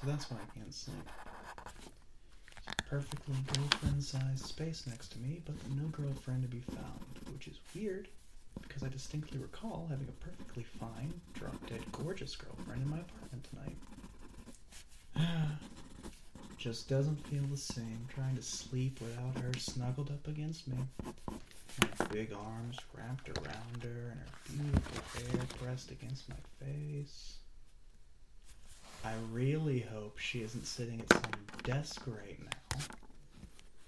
So that's why I can't sleep. Perfectly girlfriend sized space next to me, but no girlfriend to be found, which is weird because I distinctly recall having a perfectly fine, drop dead, gorgeous girlfriend in my apartment tonight. Just doesn't feel the same trying to sleep without her snuggled up against me. My big arms wrapped around her and her beautiful hair pressed against my face. I really hope she isn't sitting at some desk right now,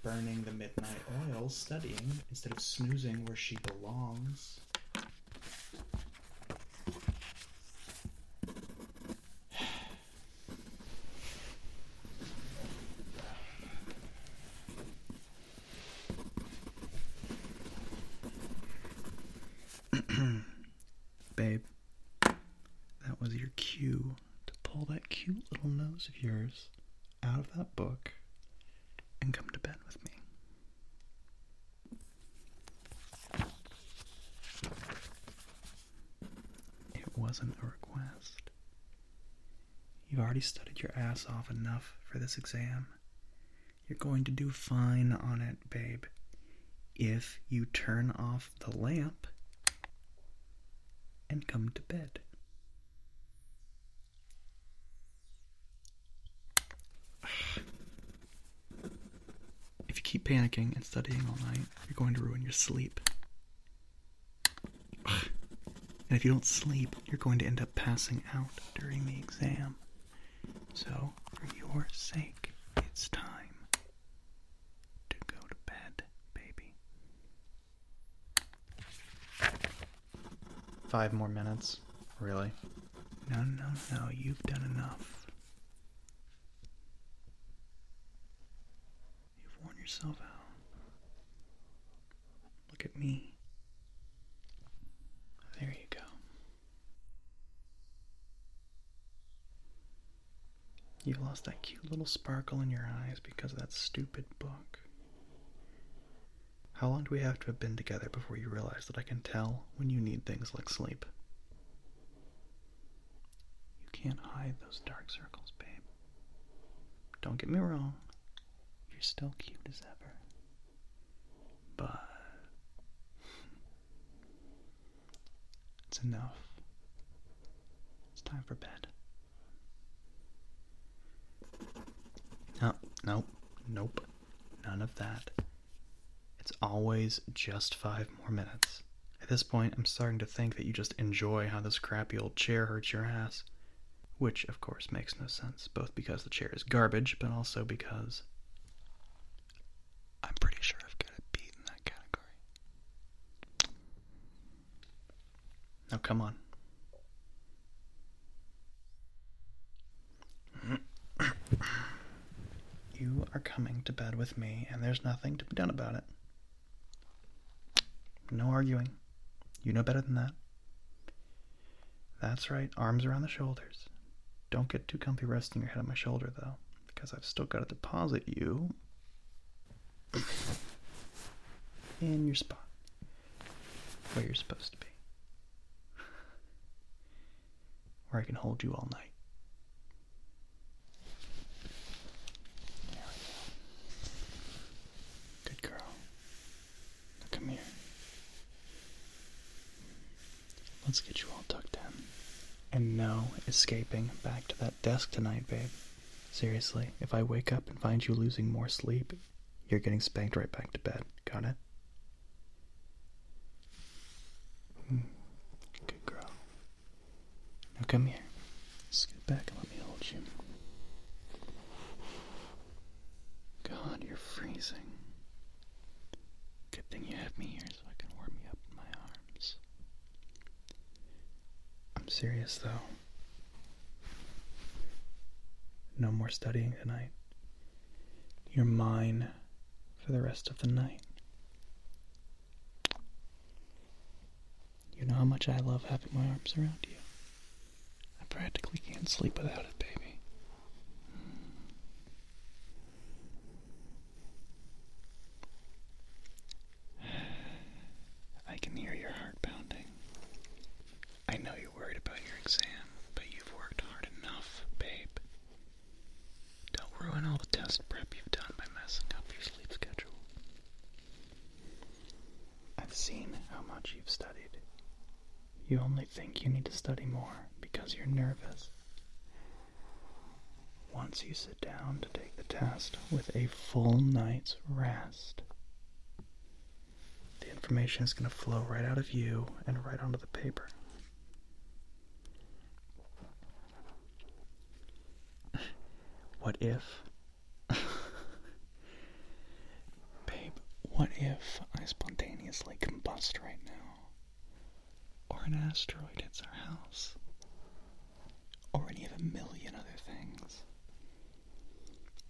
burning the midnight oil, studying instead of snoozing where she belongs. Babe, that was your cue to pull that cute little nose of yours out of that book and come to bed with me. It wasn't a request. You've already studied your ass off enough for this exam. You're going to do fine on it, babe. If you turn off the lamp and come to bed. If you keep panicking and studying all night, you're going to ruin your sleep. And if you don't sleep, you're going to end up passing out during the exam. So, for your sake, it's time to go to bed, baby. Five more minutes? Really? No, no, no, you've done enough. You've worn yourself out. Look at me. There you go. You lost that cute little sparkle in your eyes because of that stupid book. How long do we have to have been together before you realize that I can tell when you need things like sleep? You can't hide those dark circles, babe. Don't get me wrong, you're still cute as ever. But it's enough. It's time for bed. No, nope, nope. None of that. It's always just five more minutes. At this point, I'm starting to think that you just enjoy how this crappy old chair hurts your ass. Which, of course, makes no sense, both because the chair is garbage, but also because I'm pretty sure I've got it beat in that category. Now, come on. You are coming to bed with me, and there's nothing to be done about it. No arguing. You know better than that. That's right, arms around the shoulders. Don't get too comfy resting your head on my shoulder, though, because I've still got to deposit you in your spot where you're supposed to be where I can hold you all night. Good girl. come here. Let's get you all tucked in. And no escaping back to that desk tonight, babe. Seriously, if I wake up and find you losing more sleep, you're getting spanked right back to bed. Got it? Mm, good girl. Now come here. Scoot back and let me hold you. God, you're freezing. Good thing you have me here so I can warm you up in my arms. I'm serious though. No more studying tonight. You're mine for the rest of the night. You know how much I love having my arms around you. I practically can't sleep without it, baby. I can hear your heart pounding. I know you're worried about your exam, but you've worked hard enough, babe. Don't ruin all the test prep you've done by messing up your sleep schedule. I've seen how much you've studied. You only think you need to study more because you're nervous. Once you sit down to take the test with a full night's rest, the information is going to flow right out of you and right onto the paper what if? Babe, what if I spontaneously combust right now? Or an asteroid hits our house? Or any of a million other things?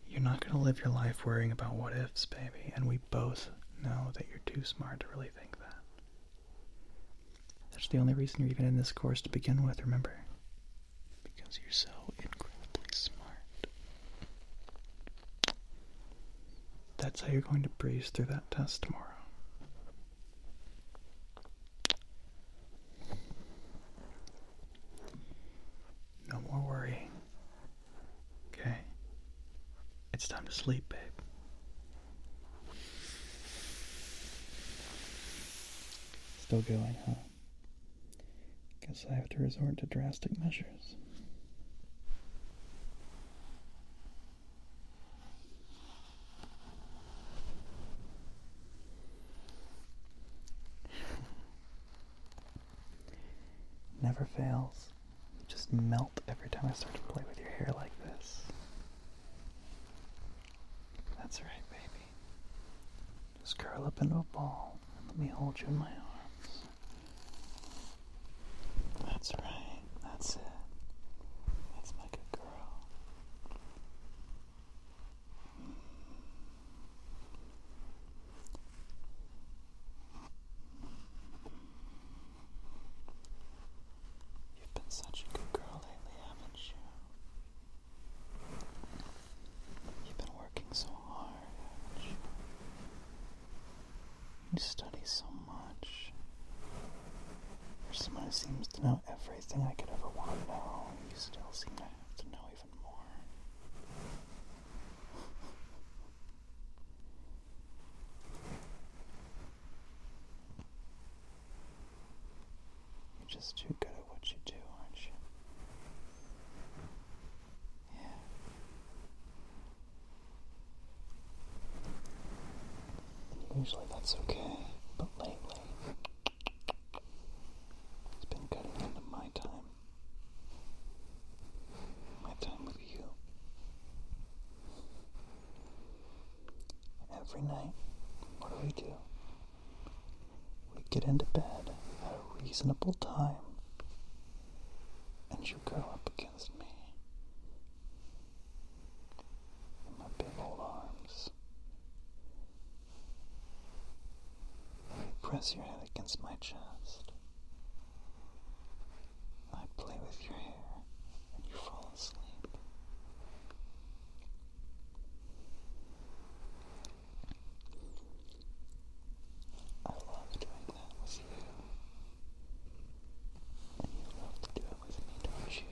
You're not gonna live your life worrying about what ifs, baby, and we both know that you're too smart to really think that. That's the only reason you're even in this course to begin with, remember? Because you're so incredibly smart. That's how you're going to breeze through that test tomorrow. No more worry. Okay. It's time to sleep, babe. Still going, huh? Guess I have to resort to drastic measures. Never fails. just melt every time I start to play with your hair like this. That's right, baby. Just curl up into a ball and let me hold you in my arms. That's right. That's it. That's my good girl. You've been such a good girl lately, haven't you? You've been working so hard, haven't you? You study so much. For someone who seems to know everything I could ever want to know, you still seem to have to know even more. You're just too good at what you do, aren't you? Yeah. Usually that's okay, but lately it's been cutting into my time my time with you. Every night, what do we do? We get into bed at a reasonable time, and you curl up against me in my big old arms. you press your head against my chest. I play with your hair and you fall asleep. I love doing that with you. And you love to it with me, don't you?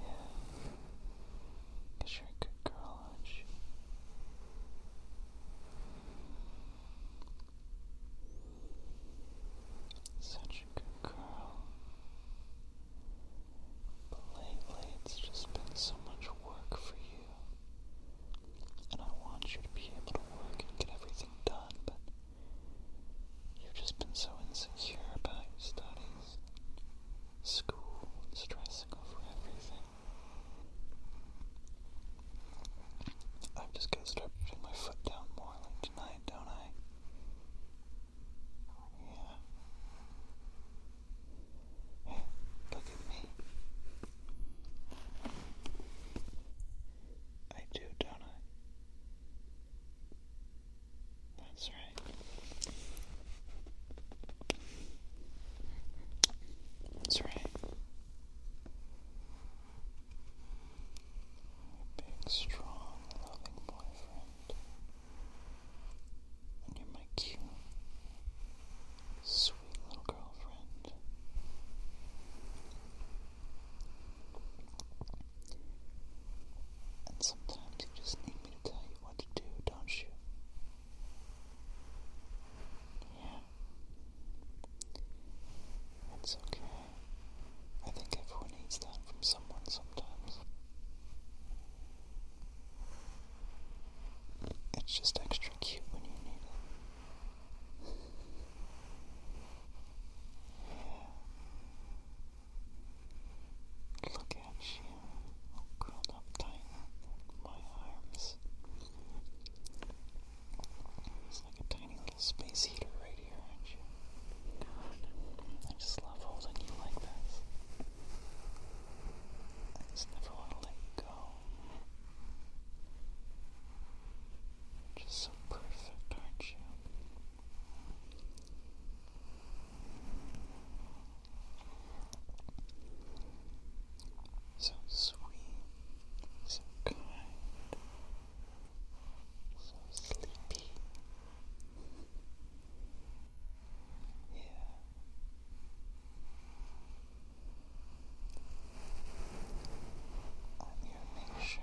Yeah. Cause you're a good girl, aren't you? Such a good girl. But lately it's just been so much work for you. And I want you to be able to work and get everything done, but you've just been so insecure about studies, school, stressing over everything i am just going to start putting my foot down more like tonight, don't I? Yeah. Hey, look at me. I do, don't I? That's right. That's right. You're a big, strong, loving boyfriend. And you're my cute, sweet little girlfriend. And sometimes you just need me to tell you what to do, don't you? Yeah. It's okay. I think everyone needs that from someone sometimes. It's just extra cute when you need it. yeah. Look catch you curled up tight in my arms. It's like a tiny little space heater right here, aren't you? I just love holding you like this. I just never want to let go. just so perfect, aren't you? So sweet, so kind, so sleepy. Yeah. I'm make sure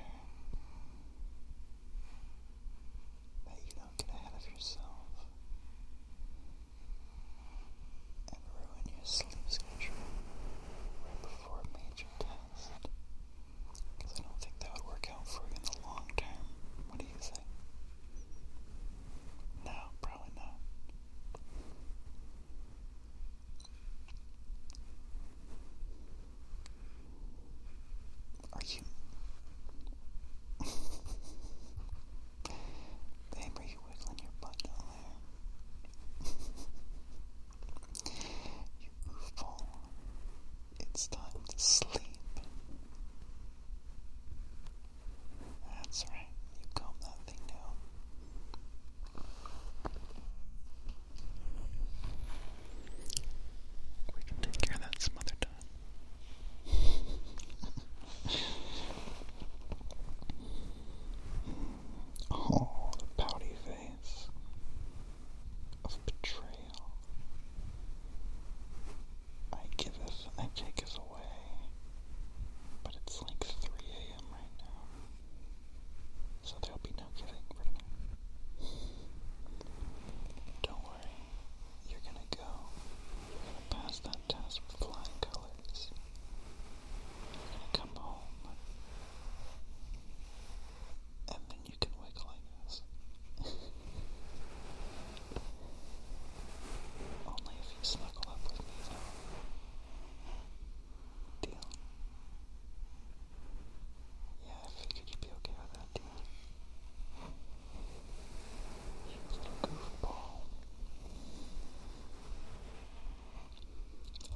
you don't get ahead yourself and ruin your sleep schedule right before a major test. Because I don't think that would work out for you in the long term. What do you think? No, probably not. Are you Damn, are wiggling your butt down there? you goofball. It's time to sleep. That's right, you calm that thing down. We can take care of that some other time. Oh, the pouty face of betrayal. I giveth and I us away, but it's like 3 a.m. right now, so there'll be no giving Don't you're gonna go. You're gonna pass that test with flying colors. You're gonna come home. And then you can wiggle, I guess. Only if you snuggle up with me, though. Deal? Yeah, I you be okay with that. She's just goofball.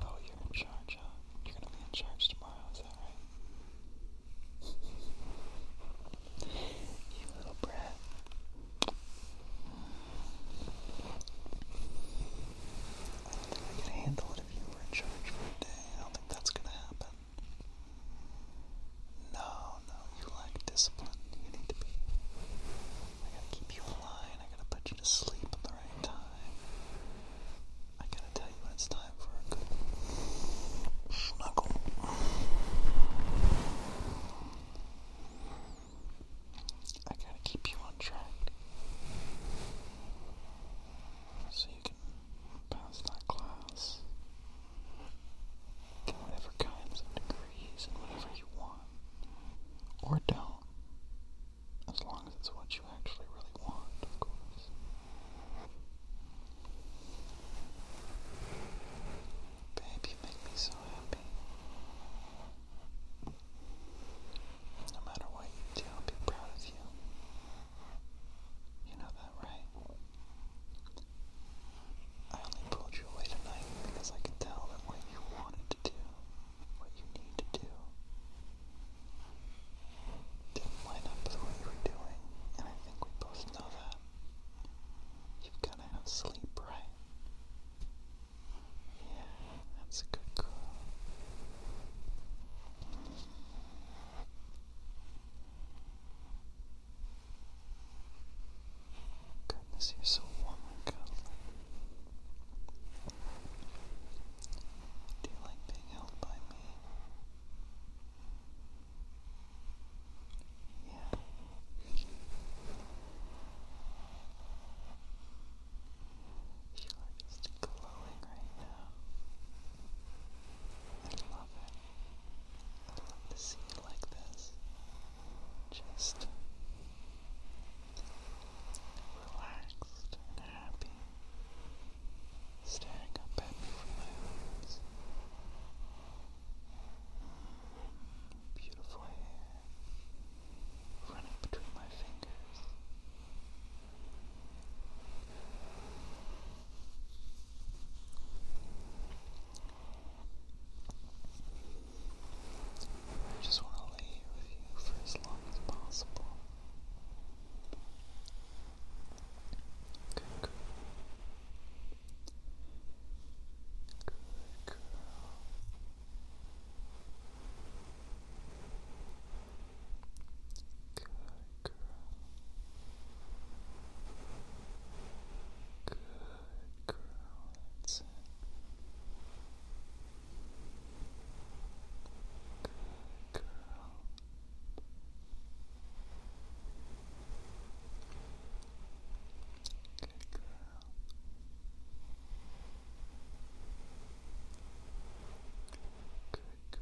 Oh, you're in charge, You're gonna be in charge tomorrow, is that right? you little brat. I don't think I could handle it if you were in charge for day. I don't think that's gonna happen. No, no, you lack discipline. You need to be. I gotta keep you in I gotta put you to sleep at the right time. I gotta tell you when it's time for a good snuggle. I gotta keep you on track so you can pass that class. Get whatever kinds of degrees and whatever you want. Or don't. As long as it's what you actually really want, of course. Babe, you make me so happy. No matter what you do, I'll be proud of you. You know that, right? I only pulled you away tonight because I can tell that what you wanted to do, what you need to do, didn't line up with what you were doing, and I think we both know that. You've got to have sleep, right? Yeah, that's good Goodness, you're so warm and cuddly. Do you like being held by me? Yeah. You are just glowing right now. I love it. I to see it like this. Just relaxed and happy, staring up at me from my rooms. Beautiful hair running between my fingers. I just want to lay with you for as long as possible. Good girl. Good girl. Good Good. Good girl, that's it. Good girl. Good girl. Good girl.